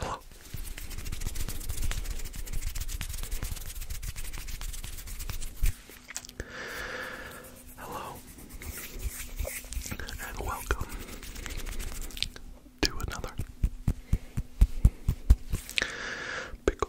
Hello. Hello. And welcome to another pickle.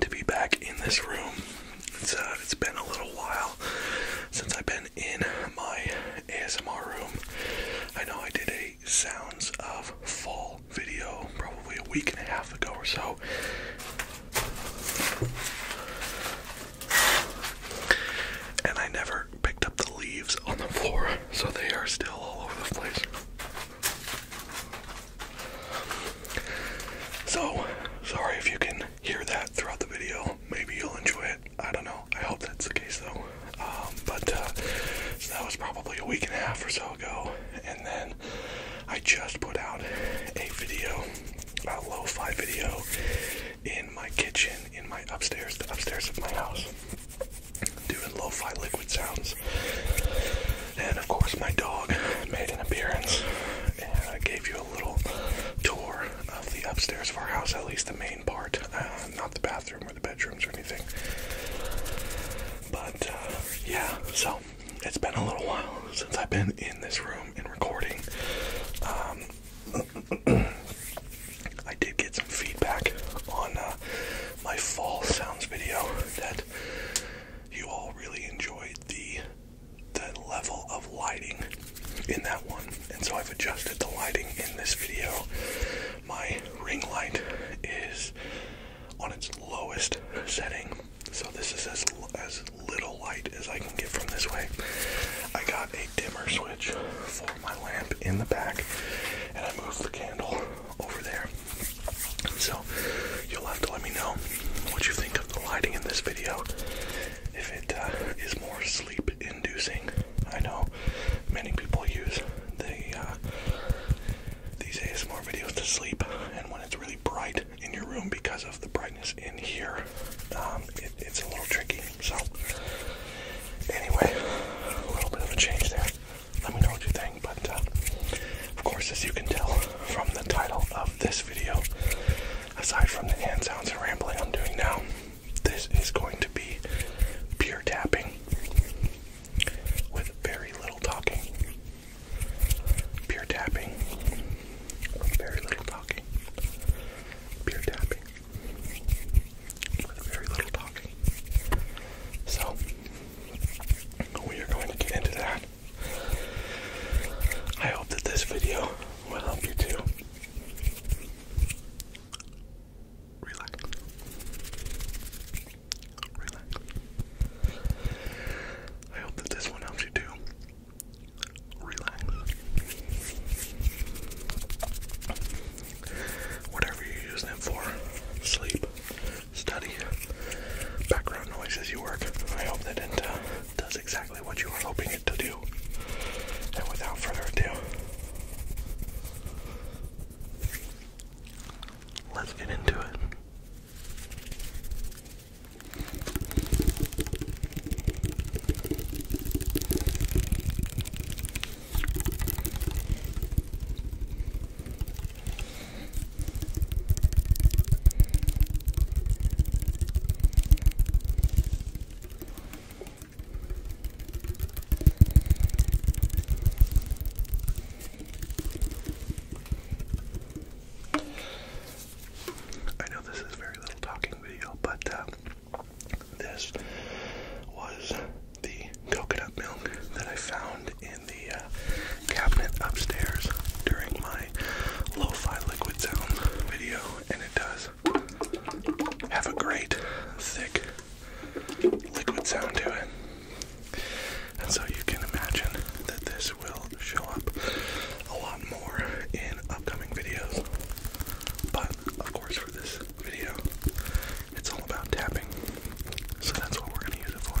to be back in this room. It's uh, it's been a little while since I've been in my ASMR room. I know I did a sounds of fall video probably a week and a half ago or so. And I never picked up the leaves on the floor, so they are still all over the place. So, sorry if you can hear that throughout the video, maybe you'll enjoy it. I don't know. I hope that's the case though. Um, but uh, that was probably a week and a half or so ago, and then I just put out a video, a lo-fi video, in my kitchen, in my upstairs, the upstairs of my house, doing lo liquid sounds. And of course, my dog made an appearance, I gave you a little tour of the upstairs of our house, at least the main part, uh, not the bathroom or the bedrooms or anything. But uh, yeah, so it's been a little while since I've been in this room and recording. Um, I did get some feedback on uh, my fall sounds video that you all really enjoyed the the level of lighting in that one, and so I've adjusted the lighting in this video. My ring light is on its lowest setting, so this is as as little light as I can get from this way. I got a dimmer switch for my lamp in the back, and I moved the candle over there. So You'll have to let me know what you think of the lighting in this video. If it uh, is more sleep inducing, I know many people use the uh, these ASMR videos to sleep, and when it's really bright in your room because of the brightness in here, um, it's a little tricky. So, anyway, a little bit of a change there. Let me know what you think, but uh, of course, as you can tell from the title of this video, aside from the hand sounds and rambling I'm doing now, this is going to be pure tapping with very little talking. Pure tapping, very little talking. Pure tapping with very little talking. So, we are going to get into that. I hope that this video will help you too. relax. Relax. I hope that this one helps you to relax. Whatever you're using it for, sleep, study, background noises you work. I hope that did does exactly what you were hoping it to do. And without further ado, let's get into it. I know this is very little talking video, but um, this was the coconut milk that I found in the uh, cabinet upstairs during my lo-fi liquid sound video, and it does have a great thick liquid sound to it. And so you can imagine that this will show up a lot more in upcoming videos. But of course for this video, it's all about tapping. So that's what we're gonna use it for.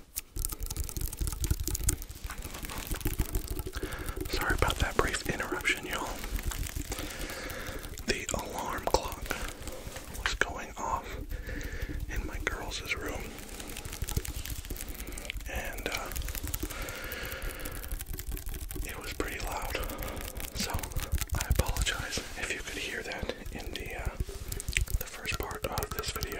Sorry about that brief interruption, y'all. The alarm clock was going off in my girls' room. And uh, it was pretty loud. So I apologize if you could hear that in the uh, the first part of this video.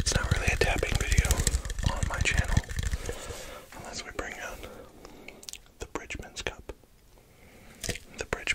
It's not really a tapping video on my channel unless we bring out the Bridgman's Cup. The Bridge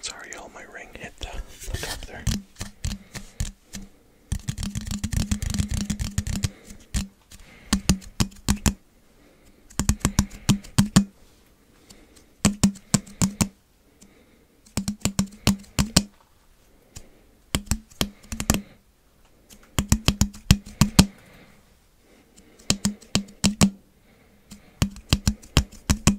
Sorry, all my ring hit the, the cup there.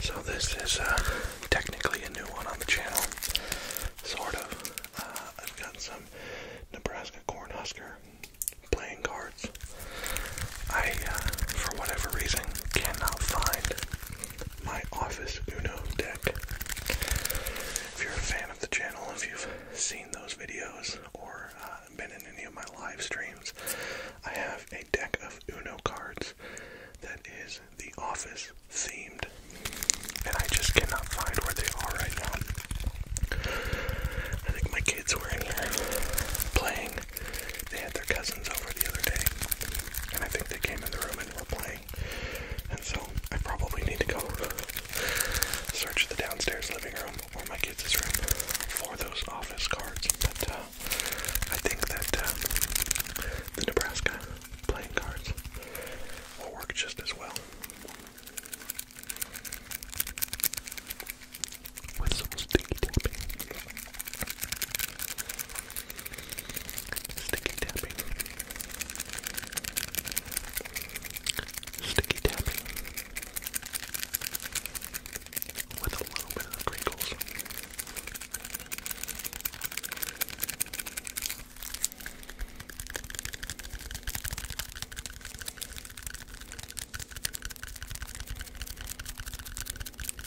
So this is uh, technically a new one on the channel, sort of. Uh, I've got some Nebraska Cornhusker playing cards. I, uh, for whatever reason, cannot find my Office Uno deck. If you're a fan of the channel, if you've seen those videos or uh, been in any of my live streams, I have a deck of Uno cards that is the Office themed, and I just cannot find where they are right now. I think my kids were in here playing they had their cousins over the other day, and I think they came in the room and were playing. And so I probably need to go search the downstairs living room or my kids' room for those office cards. But uh, I think that uh, the Nebraska playing cards will work just as well. With sticky tapping. Sticky tapping. Sticky tapping. With a little bit of crinkles.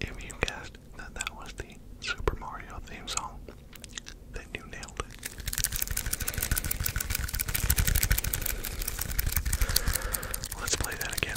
If you guessed that that was the Super Mario theme song, then you nailed it. Let's play that again.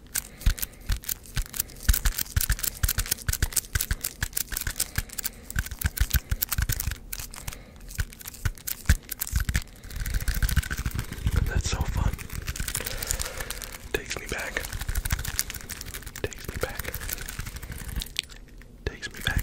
That's so fun. Takes me back. Takes me back. Takes me back.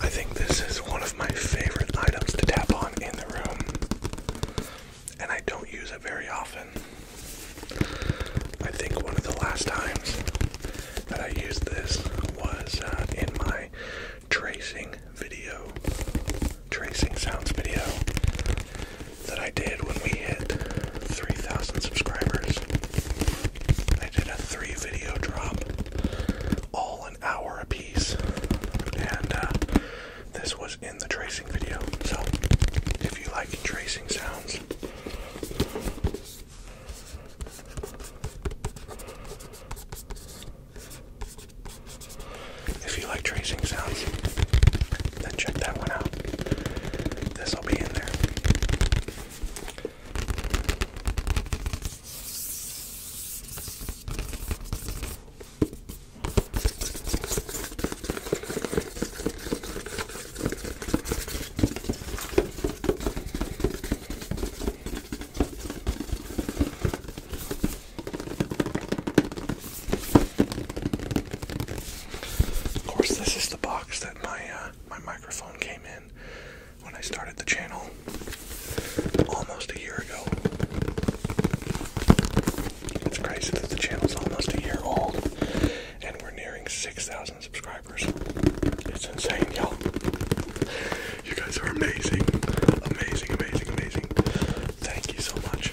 I think this is one of my favorite items to tap on in the room, and I don't use it very often. I think one of the last times that I used this was uh, in my tracing video, tracing sounds video that I did when we hit 3,000 subscribers. I did a three video drop, all an hour apiece, and uh, this was in the tracing video. So if you like tracing sounds, if you like tracing sounds, then check that one out. This will be in there. Of course, this is the box that my uh, my microphone came in when I started the channel almost a year ago. It's crazy that the channel's almost a year old and we're nearing 6,000 subscribers. It's insane, y'all. You guys are amazing. Amazing, amazing, amazing. Thank you so much.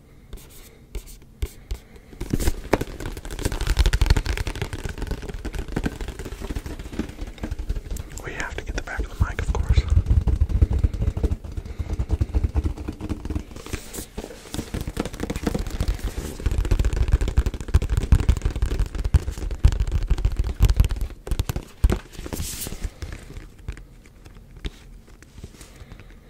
We have to get the back of the mic, of course.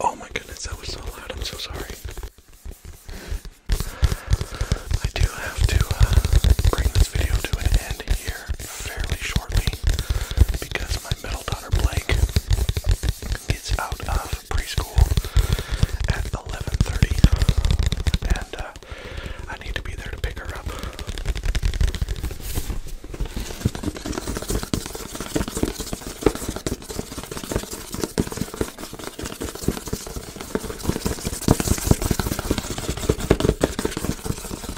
Oh my goodness, that was so loud. I'm so sorry. I do have to uh, bring this video to an end here fairly shortly because my middle daughter Blake gets out of preschool at 11:30, and uh, I need to be there to pick her up.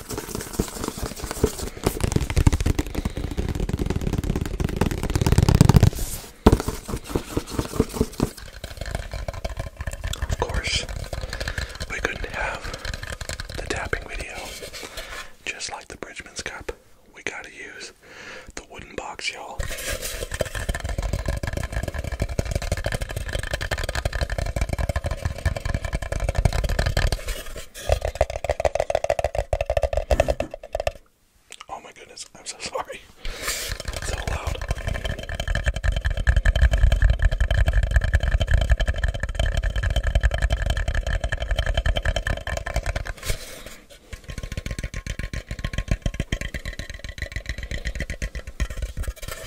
Of course, we couldn't have the tapping video. Just like the Bridgman's Cup, we gotta use the wooden box, y'all. Oh my goodness, I'm so sorry. That's so loud.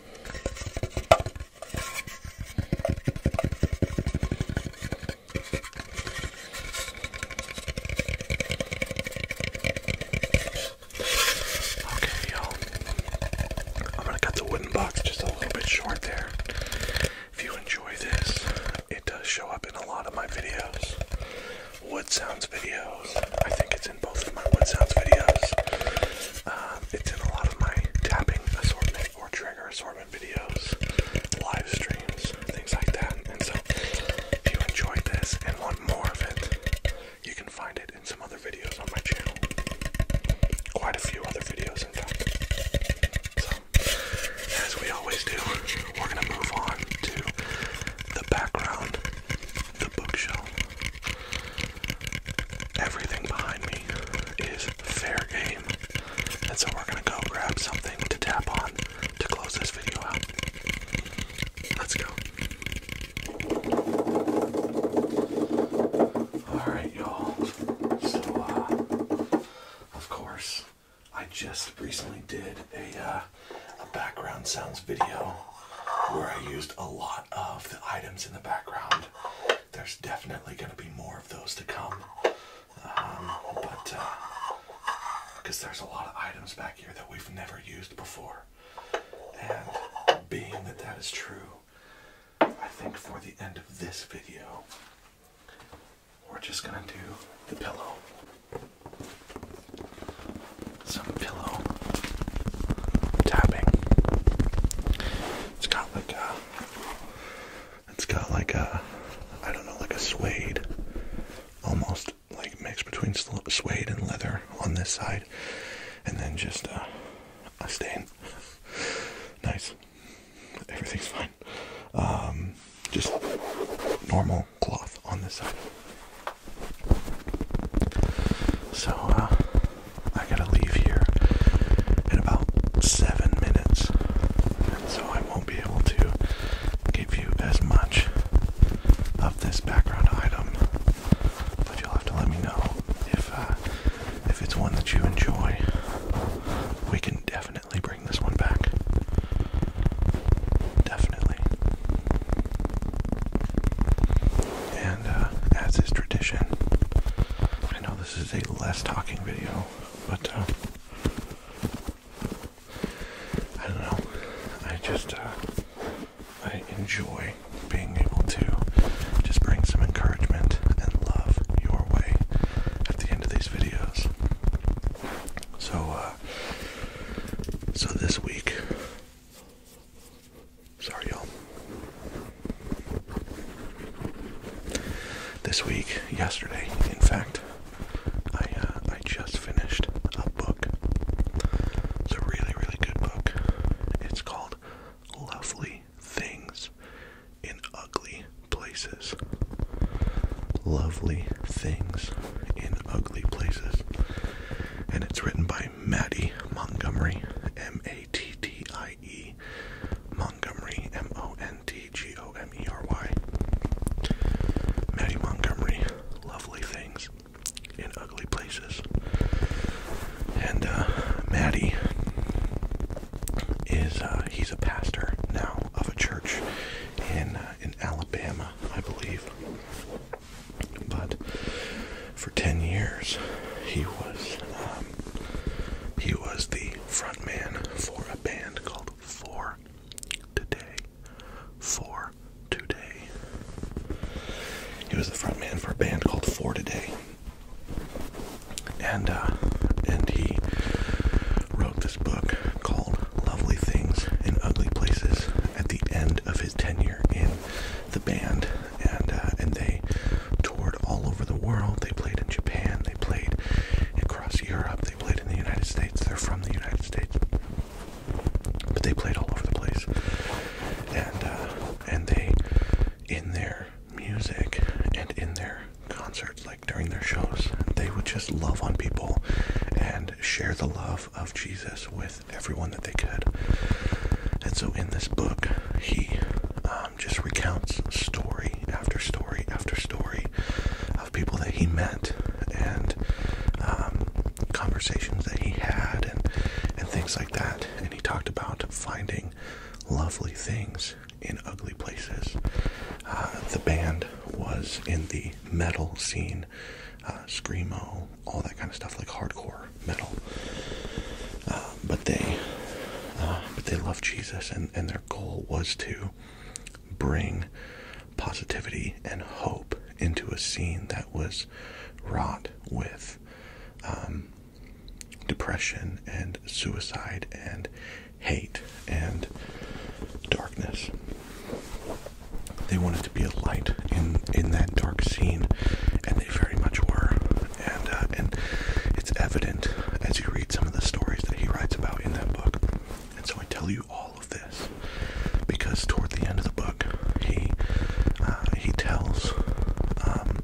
Okay, y'all. I'm gonna cut the wooden box just a little bit short there. If you enjoy this, it does show up in a lot of my videos. Wood sounds videos. I think it's in both of my wood sounds videos. Um, it's in a lot of my tapping assortment or trigger assortment videos, live streams, things like that. And so, if you enjoyed this and want more of it, you can find it in some other videos on my channel. Quite a few other videos, in fact. So, as we always do, we're gonna move on to the background the bookshelf. Everything behind me is fair game. And so we're gonna go grab something to tap on to close this video out. Let's go. Alright, y'all. So, uh, of course, I just recently did a, uh, a background sounds video where I used a lot of the items in the background. There's definitely going to be more of those to come. Um, but because uh, there's a lot of items back here that we've never used before. And being that that is true, I think for the end of this video, we're just going to do the pillow some pillow tapping. It's got like a, it's got like a, I don't know, like a suede, almost like mixed between suede and leather on this side, and then just a, stain. nice. Everything's fine. Um, just normal cloth on this side. So uh, I gotta leave here in about seven minutes, and so I won't be able to give you as much of this background item. But you'll have to let me know if uh, if it's one that you enjoy. We can definitely bring this one back. Definitely and uh, tradition, I know this is a less talking video, but uh, I don't know. I just uh, I enjoy being able to just bring some encouragement and love your way at the end of these videos. So, uh, so this week Sorry, y'all. This week, yesterday, in fact, I uh, I just finished a book. It's a really really good book. It's called Lovely Things in Ugly Places. Lovely Things in Ugly Places, and it's written by by Maddie Montgomery, M A T T I E Montgomery, M O N T G O M E R Y. Maddie Montgomery, lovely things in ugly places. And uh, Maddie is, uh, he's a pastor now of a church in, uh, in Alabama, I believe. But for ten years, he was um, he was the frontman for a band called Four Today. Four Today. He was the front man for a band called Four Today, and uh, and he wrote this book called Lovely Things in Ugly Places at the end of his tenure in the band and uh, and they toured all over the world. They played in Japan. They played across Europe. They played in the United States. They're from the United States, but they played all over the place. And uh, and they in their music and in their concerts, like during their shows, they would just love on people and share the love of Jesus with everyone that they could. And so in this book, he um, just recounts story after story after story of people that he met and um, conversations that he had and, and things like that. And he talked about finding lovely things in ugly places. Uh, the band was in the metal scene uh, screamo, all that kind of stuff like hardcore metal. Uh, but they, uh, but they love Jesus, and their goal was to bring positivity and hope into a scene that was wrought with um, depression and suicide and hate and darkness. They want to be a light in in that dark scene, and they very much were. And uh, and it's evident as you read some of the stories that he writes about in that book. And so I tell you all of this because toward the end of the book, he uh, he tells, um,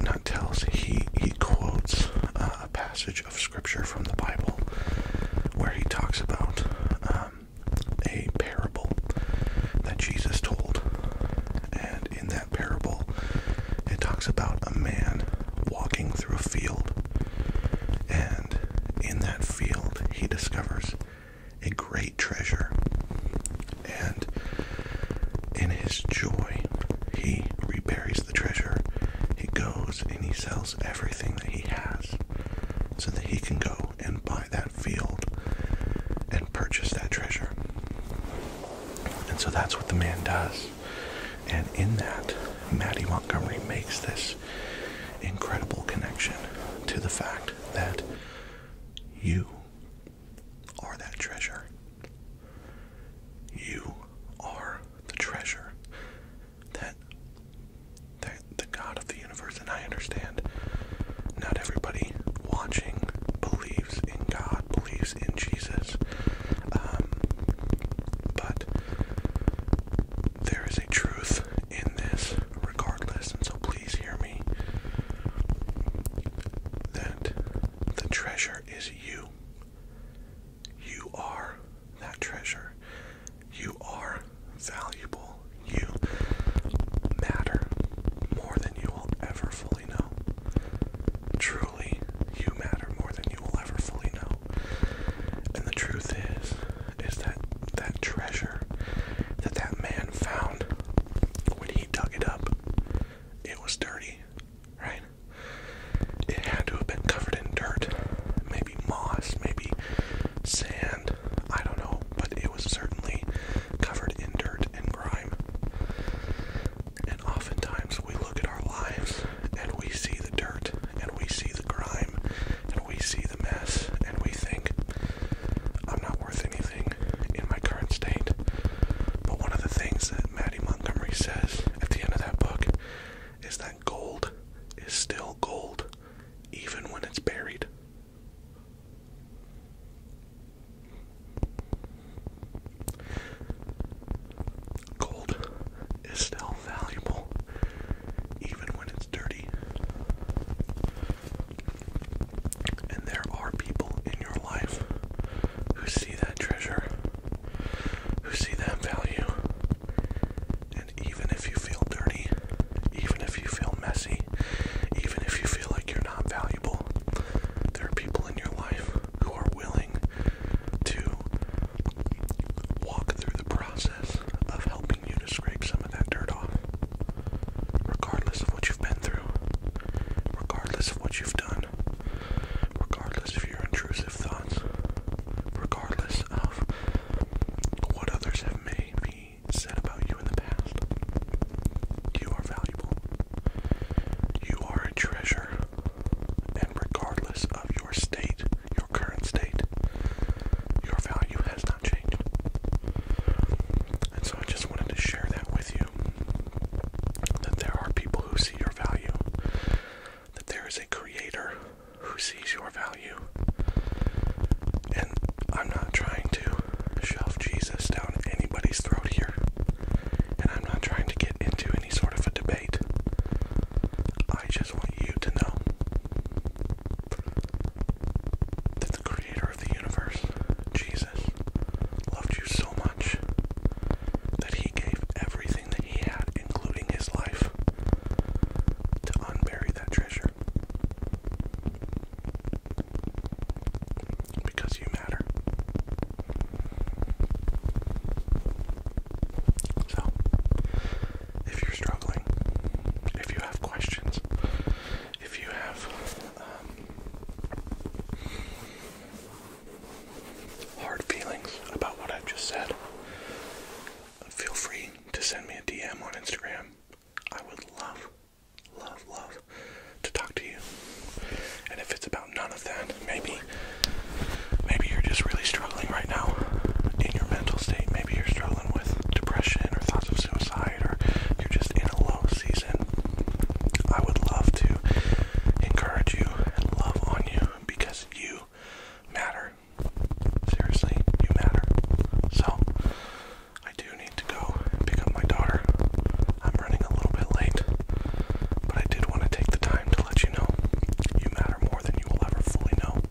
not tells, he he quotes uh, a passage of scripture from the Bible where he talks about. Um, a parable that Jesus told. And in that parable, it talks about a man walking through a field. And in that field, he discovers a great treasure. And in his joy, he reburies the treasure. He goes and he sells everything that he has so that he can go and buy that field and purchase that treasure. And so that's what the man does. And in that, Maddie Montgomery makes this incredible connection to the fact that you are that treasure. You are the treasure that the, the God of the universe, and I understand not everybody watching believes in God, believes in Jesus, um, but there is a truth in this regardless, and so please hear me that the treasure is you. You are that treasure. You are valuable. You matter more than you will ever fully know. Truly, you matter more than you will ever fully know. And the truth is, is that that treasure that that man found when he dug it up, it was dirty, right? It had to have been covered in dirt, maybe moss, maybe sand. I don't know, but it was certainly covered in dirt and grime. And oftentimes we look at our lives and we see the dirt and we see the grime and we see the mess and we think, I'm not worth anything in my current state. But one of the things that Maddy Montgomery says at the end of that book is that gold is still gold even when it's buried. Gold is still valuable even when it's dirty. And there are people in your life who see that treasure, who see that value. And even if you feel dirty, even if you feel messy, money, even if you feel like you're not valuable. There are people in your life who are willing to walk through the process of helping you to scrape some of that dirt off. Regardless of what you've been through, regardless of what you've done, regardless of your intrusive thoughts, regardless of what others have maybe me said about you in the past. You are valuable. You are a treasure. And regardless of your state, your current state, your value has not changed. And so I just wanted to share that with you that there are people who see your value, that there is a creator who sees your value value. And I'm not trying to shove Jesus down anybody's throat here. And I'm not trying to get into any sort of a debate. I just want you to know that the creator of the universe, Jesus, loved you so much that he gave everything that he had, including his life, to unbury that treasure. Because you matter. So, if you're struggling, if you have questions, if you have um, hard feelings about what I've just said, feel free to send me a DM on Instagram. I would love love, love to talk to you. And if it's about none of that, maybe maybe you're just really struggling right now in your mental state. Maybe you're struggling with depression or thoughts of suicide or you're just in a low season. I would love to encourage you and love on you because you matter. Seriously, you matter. So I do need to go and pick up my daughter. I'm running a little bit late, but I did want to take the time to let you know you matter more than you will ever fully know.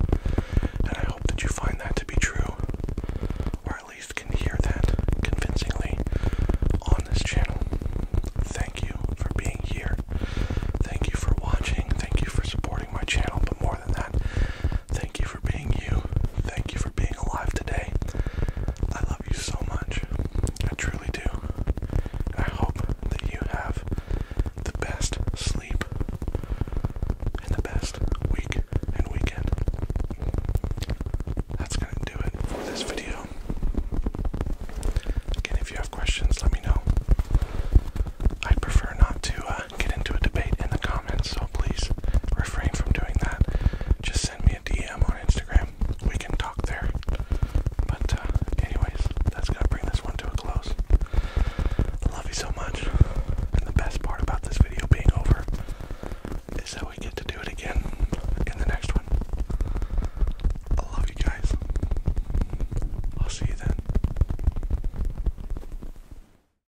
And I hope that you find that to be true, or at least can hear that convincingly on this channel. Thank you for being here. Thank you for watching. Thank you for supporting my channel, but more Thank you for being you. Thank you for being alive today. I love you so much. I truly do. I hope that you have the best sleep and the best week and weekend. That's going to do it for this video. Again, if you have questions, let me know. I would prefer not to uh, get into a debate in the comments, so please refrain from doing that. Just send me a DM on Instagram. We can talk there. But, uh, anyways, that's gonna bring this one to a close. Love you so much. And the best part about this video being over is that we get to do it again in the next one. I love you guys. I'll see you then.